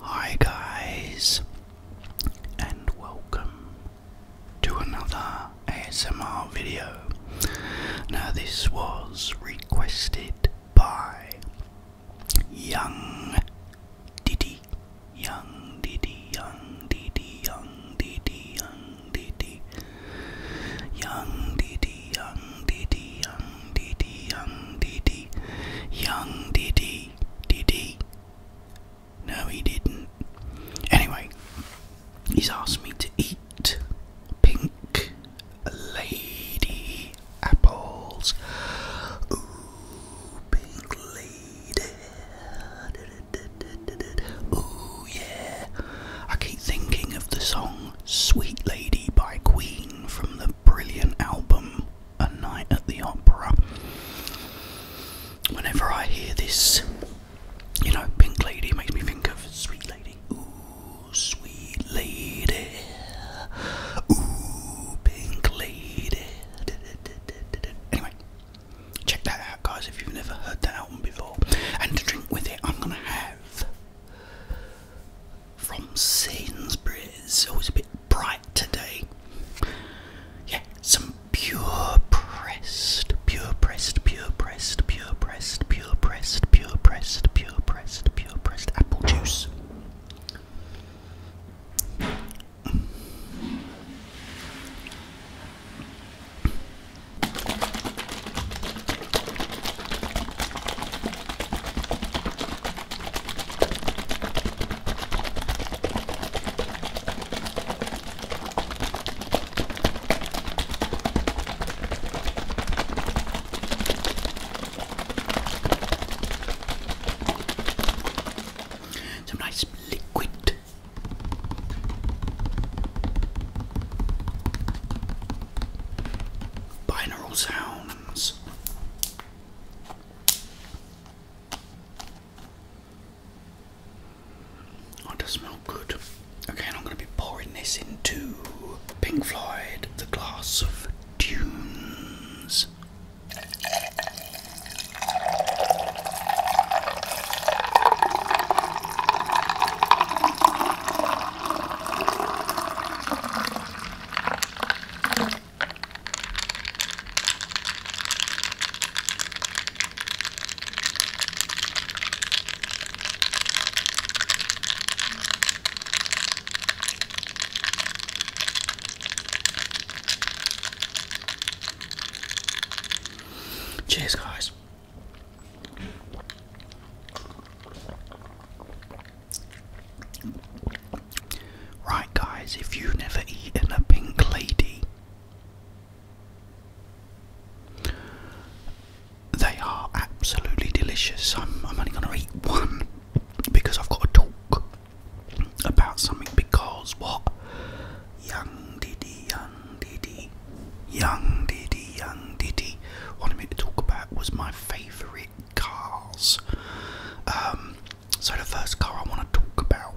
Hi, guys, and welcome to another ASMR video. Now, this was requested by Young Diddy. Young Diddy, Young Diddy, Young Diddy, Young Diddy. Young Diddy, Young Diddy, Young Diddy, Young Diddy. Young Diddy, Diddy. No, he didn't. Anyway, he's asked me to eat pink, lady apples. Ooh, pink lady. Ooh, yeah. I keep thinking of the song Sweet Lady by Queen from the brilliant album A Night at the Opera. Whenever I hear this, you know, pink lady makes me think of sweet lady. Ooh, sweet lady. Ooh, pink lady. Anyway, check that out, guys, if you've never heard that album before. And to drink with it, I'm gonna have from Sainsbury's. Always a bit bright today. Yeah, some pure. Pre pure pressed, pure pressed, pure pressed, pure pressed, pure pressed, pure pressed, pure pressed apple juice. Some nice liquid. Binaural sounds. Oh, it does smell good. Okay, I'm going to be pouring this into Pink Floyd, the glass of tunes. Cheers, guys. Right, guys, if you've never eaten a pink lady, they are absolutely delicious. I'm, only going to eat one because I've got to talk about something. Because what? Young Diddy, Young Diddy, Young Diddy, Young Diddy. What I am going to talk about was my favourite cars. Um, so the first car I want to talk about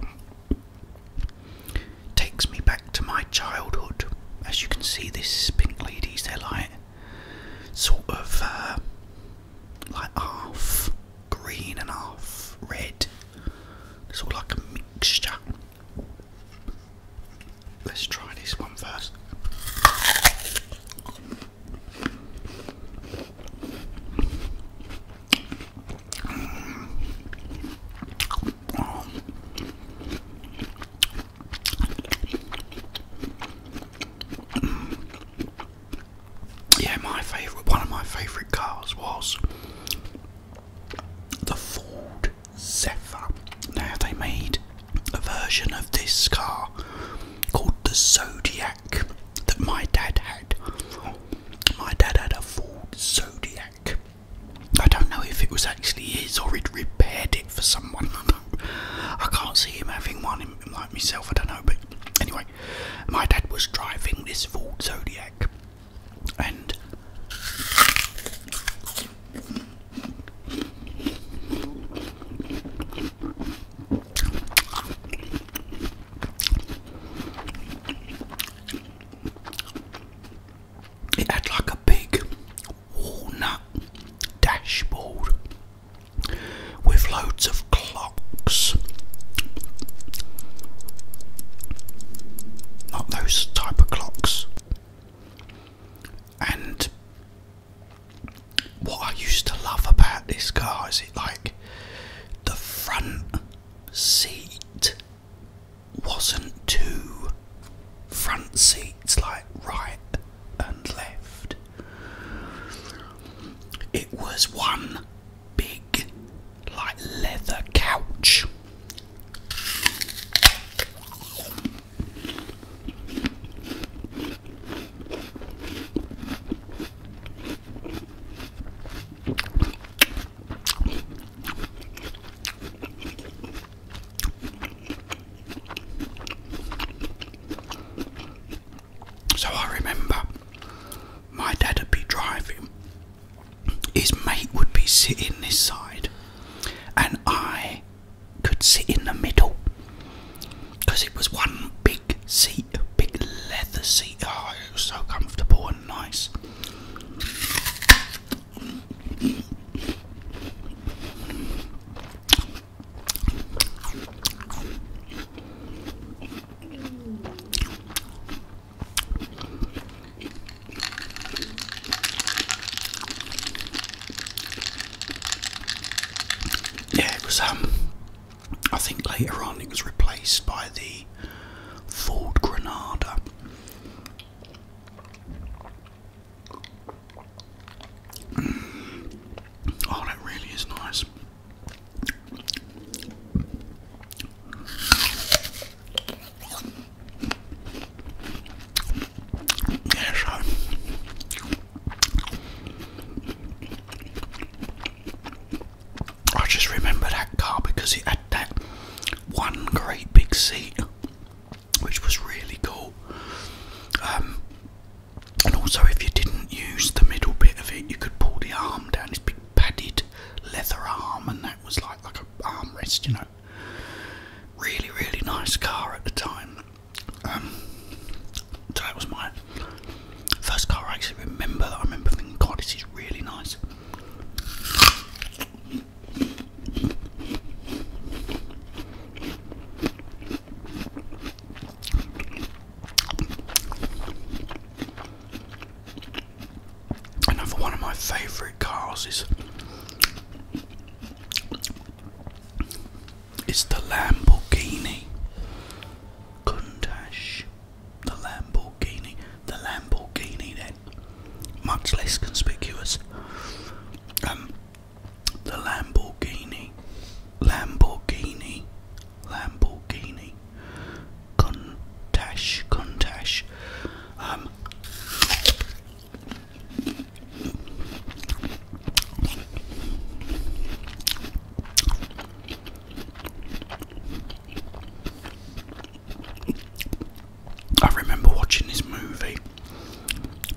takes me back to my childhood. As you can see, this pink ladies, they're like sort of uh, like half green and half red. It's all like a mixture. Let's try this one first. Yeah, my favourite, one of my favourite cars was the Ford Zephyr. Now they made a version of this car called the Zodiac that my dad had. My dad had a Ford Zodiac I don't know if it was actually his or he'd repaired it for someone. I can't see him having one like myself, I don't know. But anyway, my dad was driving this Ford Zodiac and. It had like a big walnut dashboard with loads of clocks. Not those type of clocks. And what I used to love about this car is it like the front seat wasn't two front seats like right and left. It was one big, like leather couch. So I remember my dad would be driving, his mate would be sitting this side, and I could sit in the middle because it was one big seat, big leather seat. Oh, it was so comfortable and nice. Yeah, it was, um, I think later on it was replaced by the Ford Granada. Oh, that really is nice. Yeah, so I just remember that car because it had that one great big seat which was really cool. Um, and also, if you didn't use the middle bit of it, you could pull the arm down. It's big padded leather arm, and that was like like an armrest, you know. Really, really nice car at the time. Um, so that was my first car I actually remember. That I remember thinking, God, this is really nice. Another one of my favourite cars is is the Lamborghini Countach. The Lamborghini, the Lamborghini, much less conspicuous. Um, the Lamborghini, Lamborghini, Lamborghini, Contash, Contash. Um, I remember watching this movie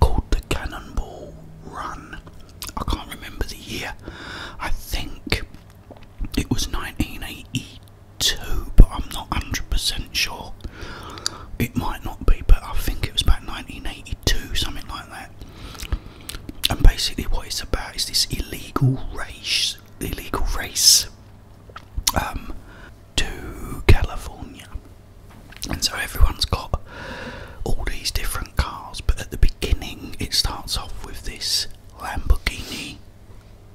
called The Cannonball Run. I can't remember the year. I think it was 1982, but I'm not 100% sure. It might not be, but I think it was about 1982, something like that. And basically, what it's about is this illegal race, illegal race um, to California. And so everyone's got all these different cars, but at the beginning it starts off with this Lamborghini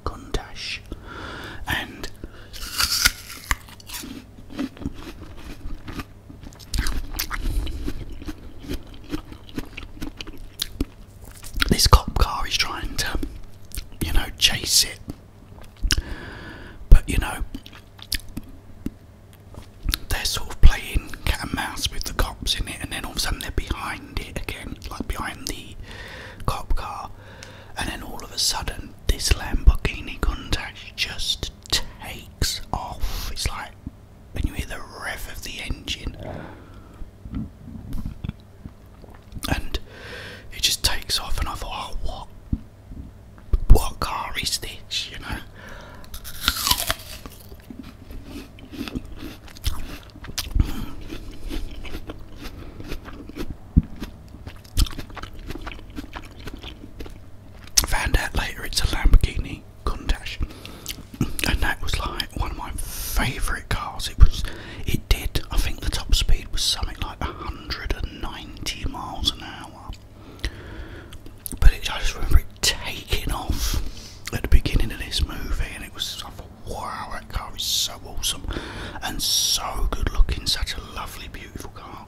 Countach. And this cop car is trying to, you know, chase it but you know, they're sort of playing cat and mouse with the cops in it, and then all of a sudden they're behind it again, like behind the cop car, and then all of a sudden this Lamborghini Countach just takes off. It's like when you hear the rev of the engine. And it just takes off, and I thought, oh, what what car is this, you know? Found out later it's a Lamborghini Countach, and that was like one of my favourite cars. It was, it did. I think the top speed was something like a hundred 90 miles an hour. But I just remember it taking off at the beginning of this movie, and it was I thought, wow, that car is so awesome and so good looking, such a lovely, beautiful car.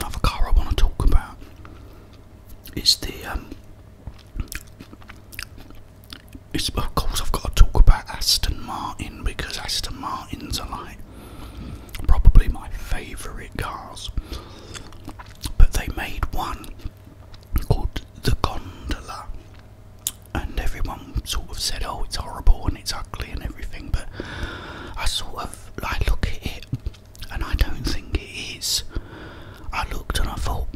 Another car I want to talk about is the um, it's of course I've got to talk about Aston Martin because Aston Martins are like probably my favourite cars. But they made one called the Gondola and everyone sort of said, Oh, it's horrible and it's ugly and everything but I sort of I look at it and I don't think it is. I looked and I thought,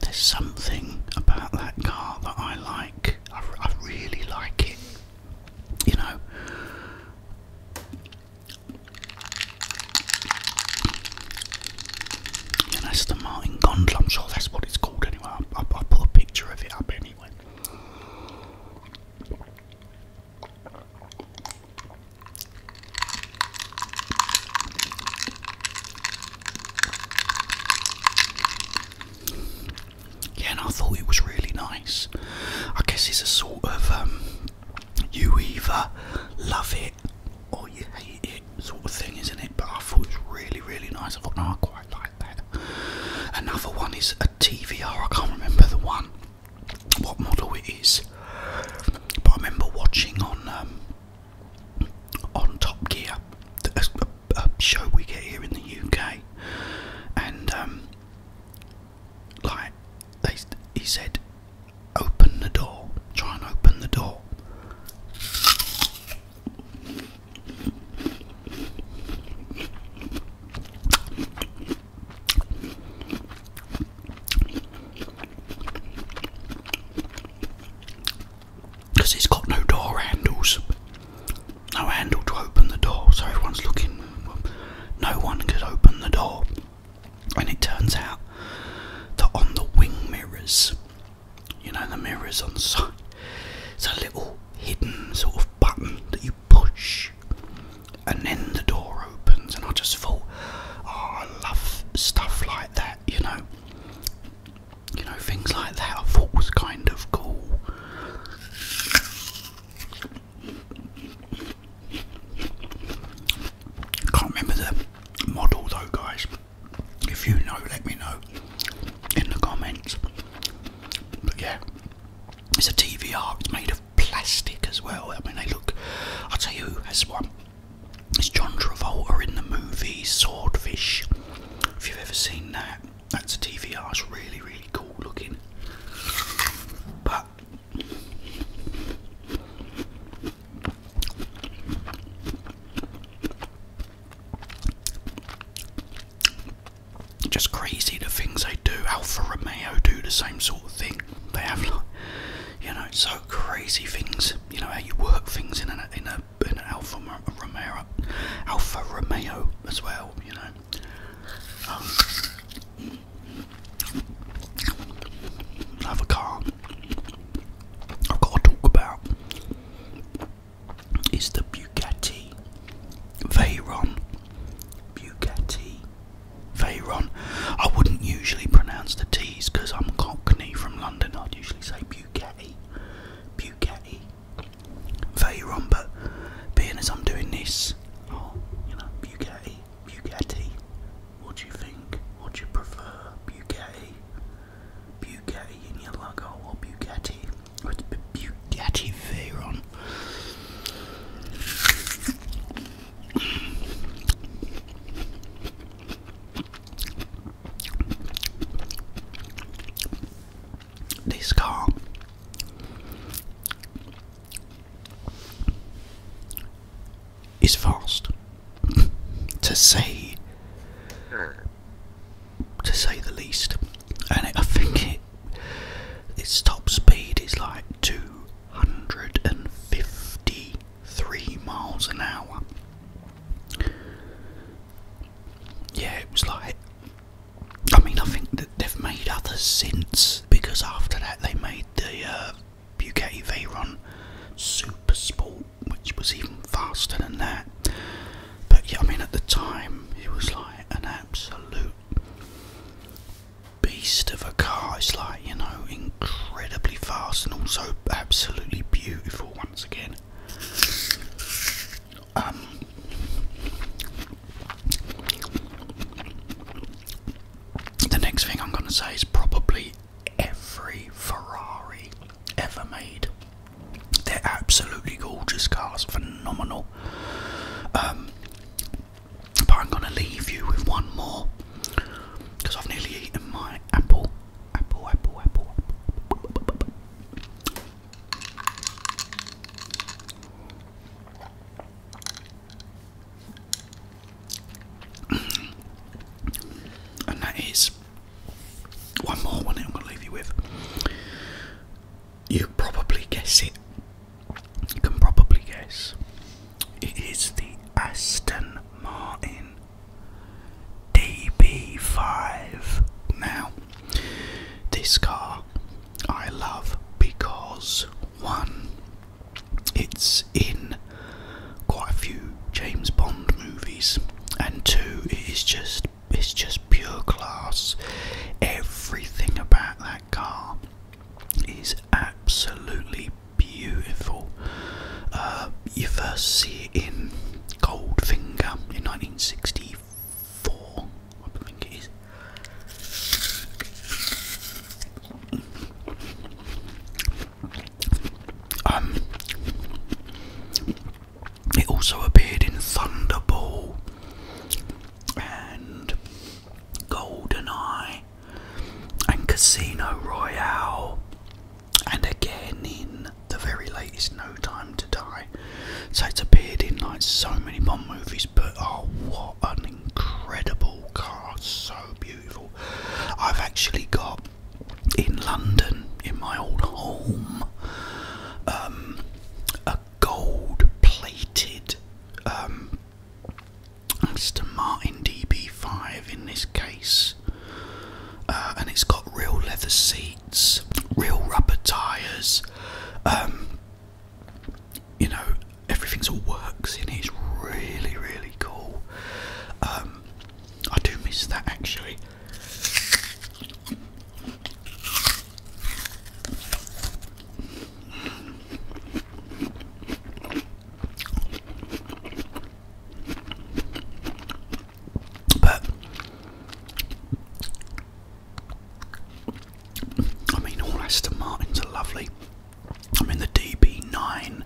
there's something about that car that I like. I, really like it. You know. that's the Martin Gondel. I'm sure that's what it's called anyway. I'll put a picture of it up anyway. Yeah, and I thought it was really nice. I guess it's a sort of um, you either love it or you hate it sort of thing, isn't it? But I thought it was really, really nice. I thought, I quite like that. Another one is TVR, I can't remember the one, what model it is, but I remember watching on um, on Top Gear, a, show we get here in the UK, and um, like he said, open the door, try and open the door. Because it's got no door handles, no handle to open the door, so everyone's looking. No one could open the door, and it turns out that on the wing mirrors, you know, the mirrors on the side, it's a little hidden sort of button that you push, and then the door opens. And I just thought, oh, I love stuff like that, you know. You know, things like that I thought was kind of cool. Can't remember the model though, guys. If you know, let me know in the comments. yeah, it's a DVR. It's made of plastic as well. I mean, they look. I'll tell you who has one. It's John Travolta in the movie Swordfish. If you've ever seen that, that's a DVR. It's really, really cool looking. But just crazy the things they do. Alfa Romeo do the same sort of thing. They have like, you know, so crazy things. You know how you work things in an in a in an Alfa Romeo, Alfa Romeo as well. You know. Um, another car I've got to talk about is the Bugatti Veyron. Bugatti Veyron. I wouldn't usually pronounce the T's because I'm Cockney from London. I'd usually say Bugatti. Bugatti Veyron, but being as I'm doing this, oh, you know, Bugatti, Bugatti. What do you think? What do you prefer? Bugatti? Bugatti in your logo or Bugatti? with Bugatti Veyron. This car is fast to say hmm. to say the least and I think it its top speed is like 253 miles an hour. Yeah, it was like. I mean, I think that they've made others since because after that they made the uh, Bugatti Veyron Super Sport, which was even faster than that. But yeah, I mean, at the time it was like an absolute beast of a car. It's like, you know, incredibly fast and also absolutely beautiful once again. Um, the next thing I'm gonna say is probably every Ferrari ever made. They're absolutely gorgeous cars, phenomenal. Um, but I'm going to leave you with one more because I've nearly eaten my apple. Apple, apple, apple. and that is one more one I'm going to leave you with you probably guess it. You can probably guess. It is the Aston Martin DB5. Now, this car I love because one, it's in quite a few James Bond movies, and two, it is just it's just pure class. Everything about that car is absolutely beautiful. Uh, you first see it in Goldfinger in 1964, I think it is. Um, it also appeared in Thunderball and GoldenEye, and Casino Royale, and again in the very latest No Time to Die. So it's appeared in like so many Bond movies, but oh, what an incredible car! So beautiful. I've actually got in London, in my old home, um, a gold plated um, Mr. Martin DB5 in this case, uh, and it's got real leather seats, real rubber tyres. Um, you know, everything's all works in It's really, really cool. Um, I do miss that actually. But I mean, all Aston Martins are lovely. I mean, the DB9,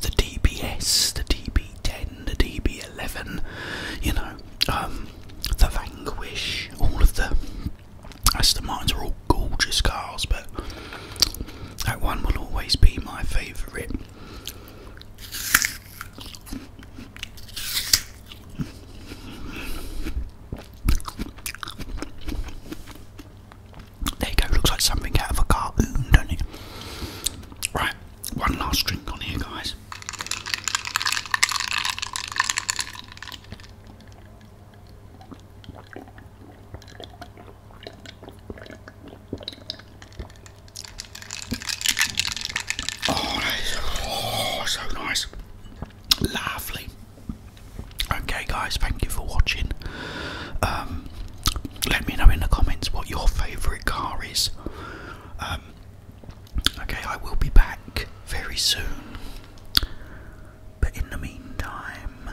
the DBS, the DB10, the DB11, you know, um, the Vanquish, all of the as the mines are all gorgeous cars, but that one will always be my favourite. There you go, looks like something out of a cartoon, doesn't it? Right, one last drink on here, guys. Oh, that is so nice. Lovely. Okay, guys, thank you for watching. Um, let me know in the comments what your favourite car is. Um, okay, I will be back very soon. But in the meantime,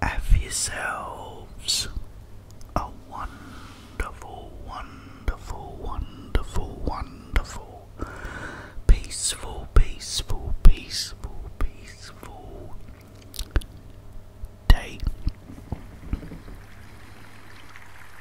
have yourselves a wonderful, wonderful, wonderful, wonderful, peaceful, peaceful, peaceful, peaceful day.